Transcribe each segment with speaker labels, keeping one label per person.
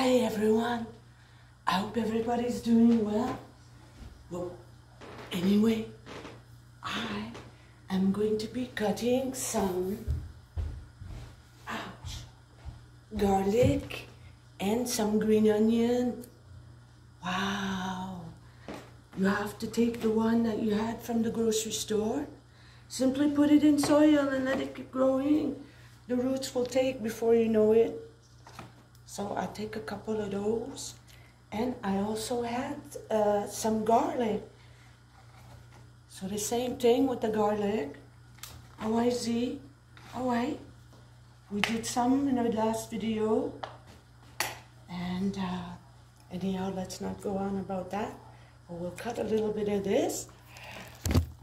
Speaker 1: Hey everyone, I hope everybody's doing well. Well, anyway, I am going to be cutting some garlic and some green onion. Wow, you have to take the one that you had from the grocery store Simply put it in soil and let it keep growing. The roots will take before you know it. So I take a couple of those. And I also add uh, some garlic. So the same thing with the garlic. Z, OI. We did some in our last video. And uh, anyhow, let's not go on about that we'll cut a little bit of this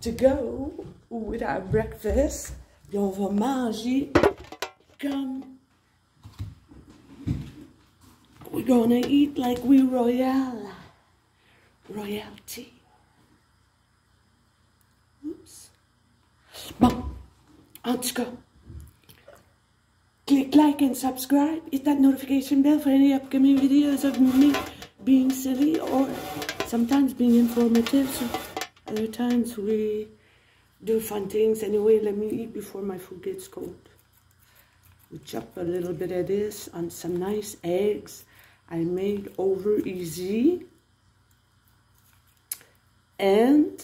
Speaker 1: to go with our breakfast. Et on va manger comme... We're gonna eat like we royal. Royalty. Oops. Bon. En tout cas, click like and subscribe. Hit that notification bell for any upcoming videos of me being silly or sometimes being informative. So other times we do fun things. Anyway, let me eat before my food gets cold. We chop a little bit of this on some nice eggs I made over easy. And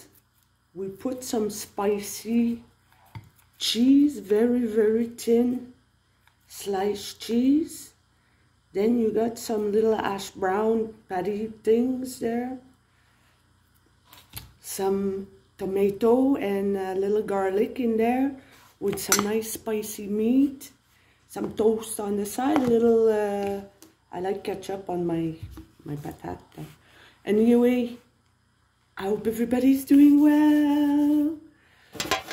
Speaker 1: we put some spicy cheese, very, very thin sliced cheese. Then you got some little ash brown patty things there. Some tomato and a little garlic in there with some nice spicy meat. Some toast on the side, a little, uh, I like ketchup on my, my patata. Anyway, I hope everybody's doing well.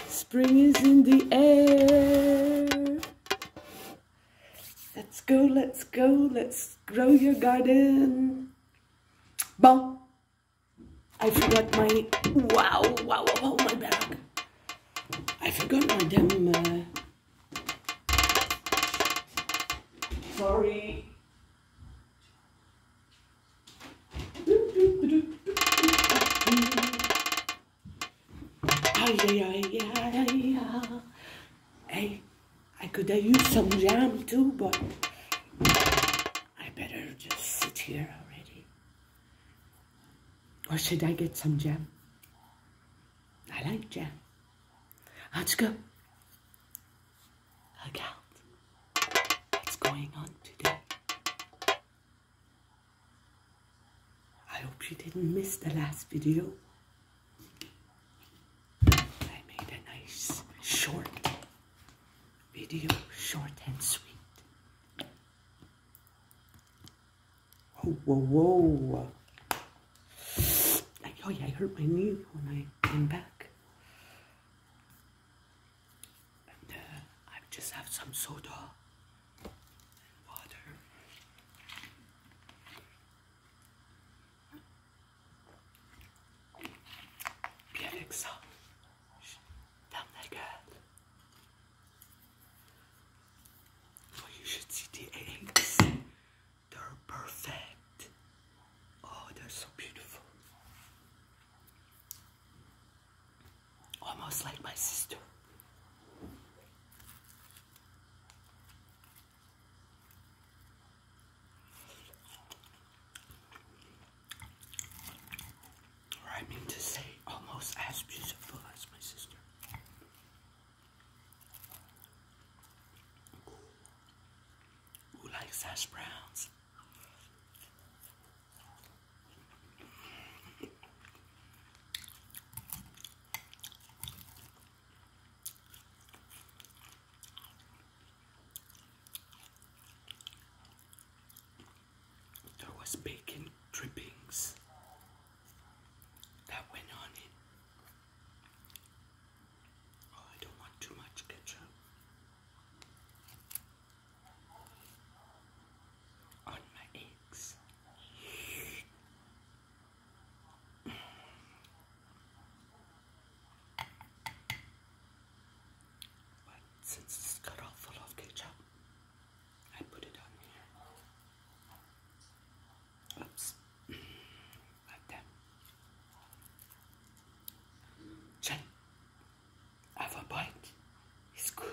Speaker 1: Spring is in the air. Let's go, let's go, let's grow your garden. Bon. I forgot my... Wow, wow, wow, my bag. I forgot my damn... Uh... Sorry. Hey, I could have used some jam too, but
Speaker 2: I better just sit
Speaker 1: here already. Or should I get some jam? I like jam.
Speaker 2: Let's go. Look out. What's going on today?
Speaker 1: I hope you didn't miss the last video. I made a nice
Speaker 2: short video, short and sweet.
Speaker 1: Whoa, whoa, whoa. oh yeah, I hurt my knee when I came back.
Speaker 2: And uh, I just have some soda and water. Bir Alexa, that girl. So you should see the eggs. They're perfect. Oh, they're so beautiful. Almost like my sister. Or I mean to say, almost as beautiful as my sister. Who likes hash browns? There was bacon drippings that went on it. Oh, I don't want too much ketchup on my eggs. since this is cut all full of ketchup, I put it on here. Oops. like that. Check. Have a bite. It's good.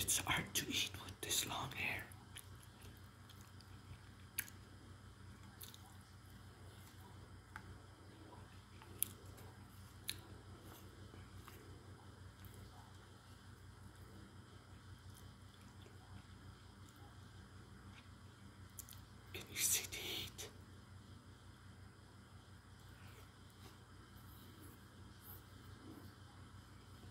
Speaker 2: It's hard to eat with this long hair. Can you see the heat?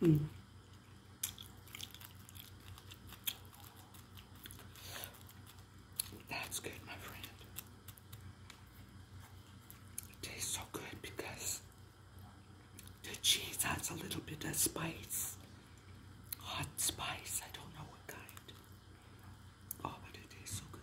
Speaker 2: Hmm. That's good, my friend. tastes so good because the cheese has a little bit of spice. Hot spice, I don't know what kind. Oh, but it tastes so good.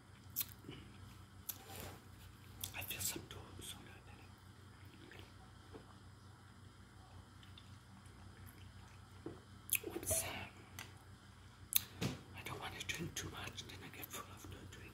Speaker 2: I feel some too, so good. Oops. I don't want to drink too much, then I get full after a drink.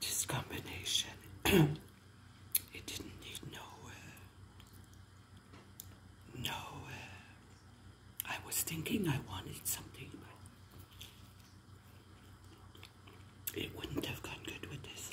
Speaker 2: This combination, it didn't need nowhere. No, uh, I was thinking I wanted something, but it wouldn't have gone good with this.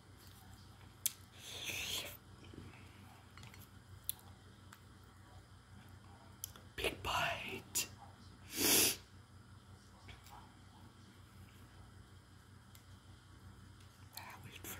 Speaker 2: Big bite. I wait for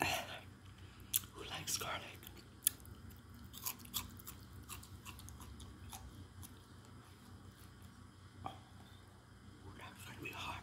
Speaker 2: Who likes garlic? Oh, that's gonna hot.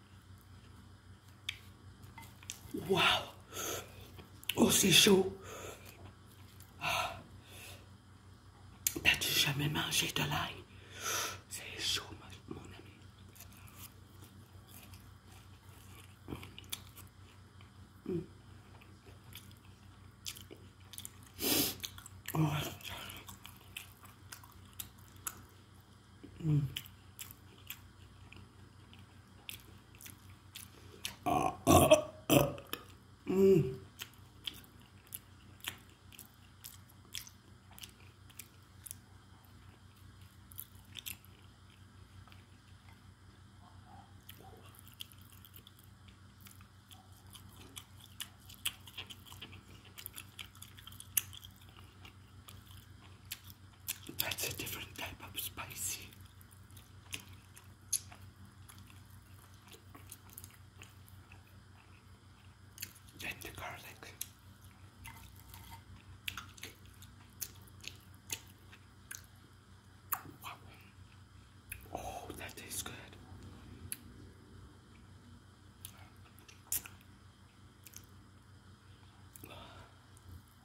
Speaker 2: Waouh Oh, c'est chaud ah. T'as-tu jamais mangé de l'ail C'est chaud, mon ami.
Speaker 1: Mm. Mm. 음. 아, 아, 아. 음.
Speaker 2: That's a different type of spicy. Then the garlic. Oh, that tastes good.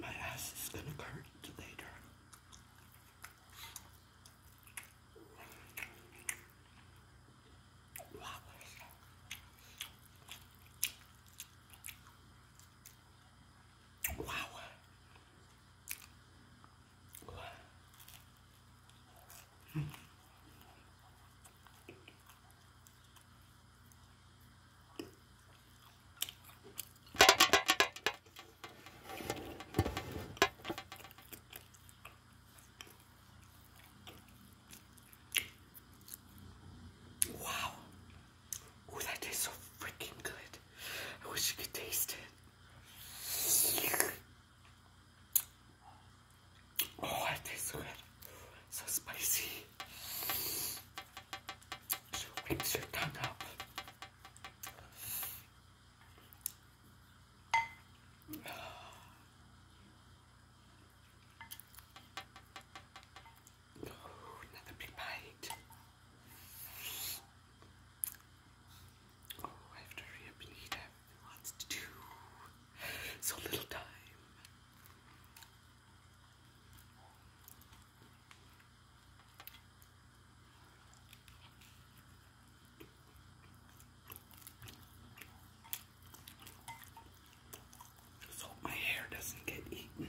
Speaker 2: My ass is going to hurt later. Wow. Wow. Wow. Oh, that tastes so freaking good. I wish you could taste it. Oh, it tastes so good. So spicy. So wakes your tongue up. Oh, another big bite. Oh, I have to hurry up and to do. So little time. Just hope my hair doesn't get eaten.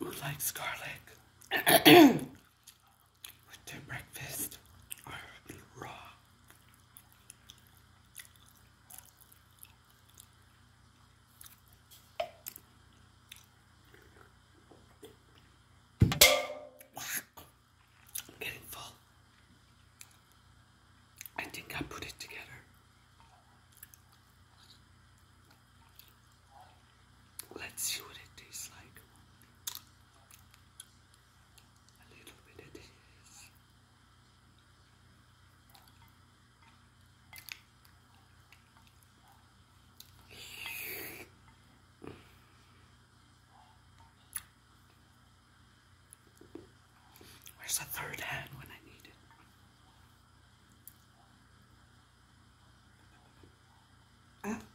Speaker 2: Who like garlic? with their breakfast or raw. I'm getting full. I think I put it together. Let's see what it tastes like. A little bit of this. Where's the third hand when I need it? Ah.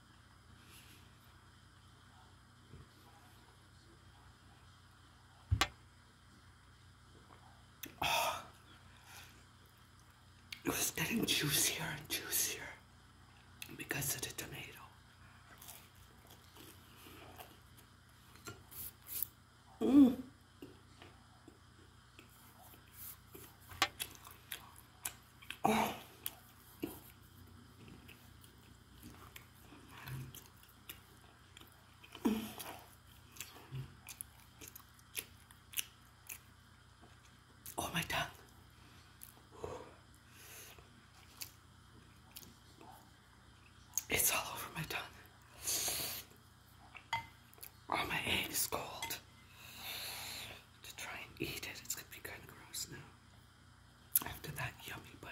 Speaker 2: Oh. it was getting juicier and juicier because of the tomato. Mm. Oh. my tongue. It's all over my tongue. Oh, my egg is cold. To try and eat it, it's gonna be kind of gross now after that yummy bite.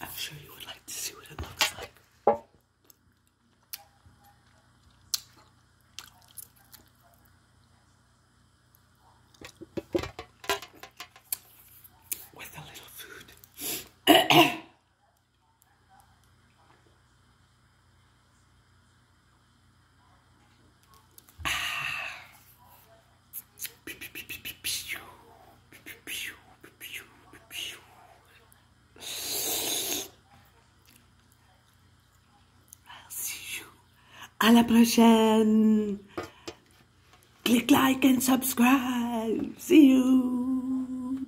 Speaker 1: I'm sure you would like to see what it looks like. With a little food. À la prochaine. Click like and subscribe. See you.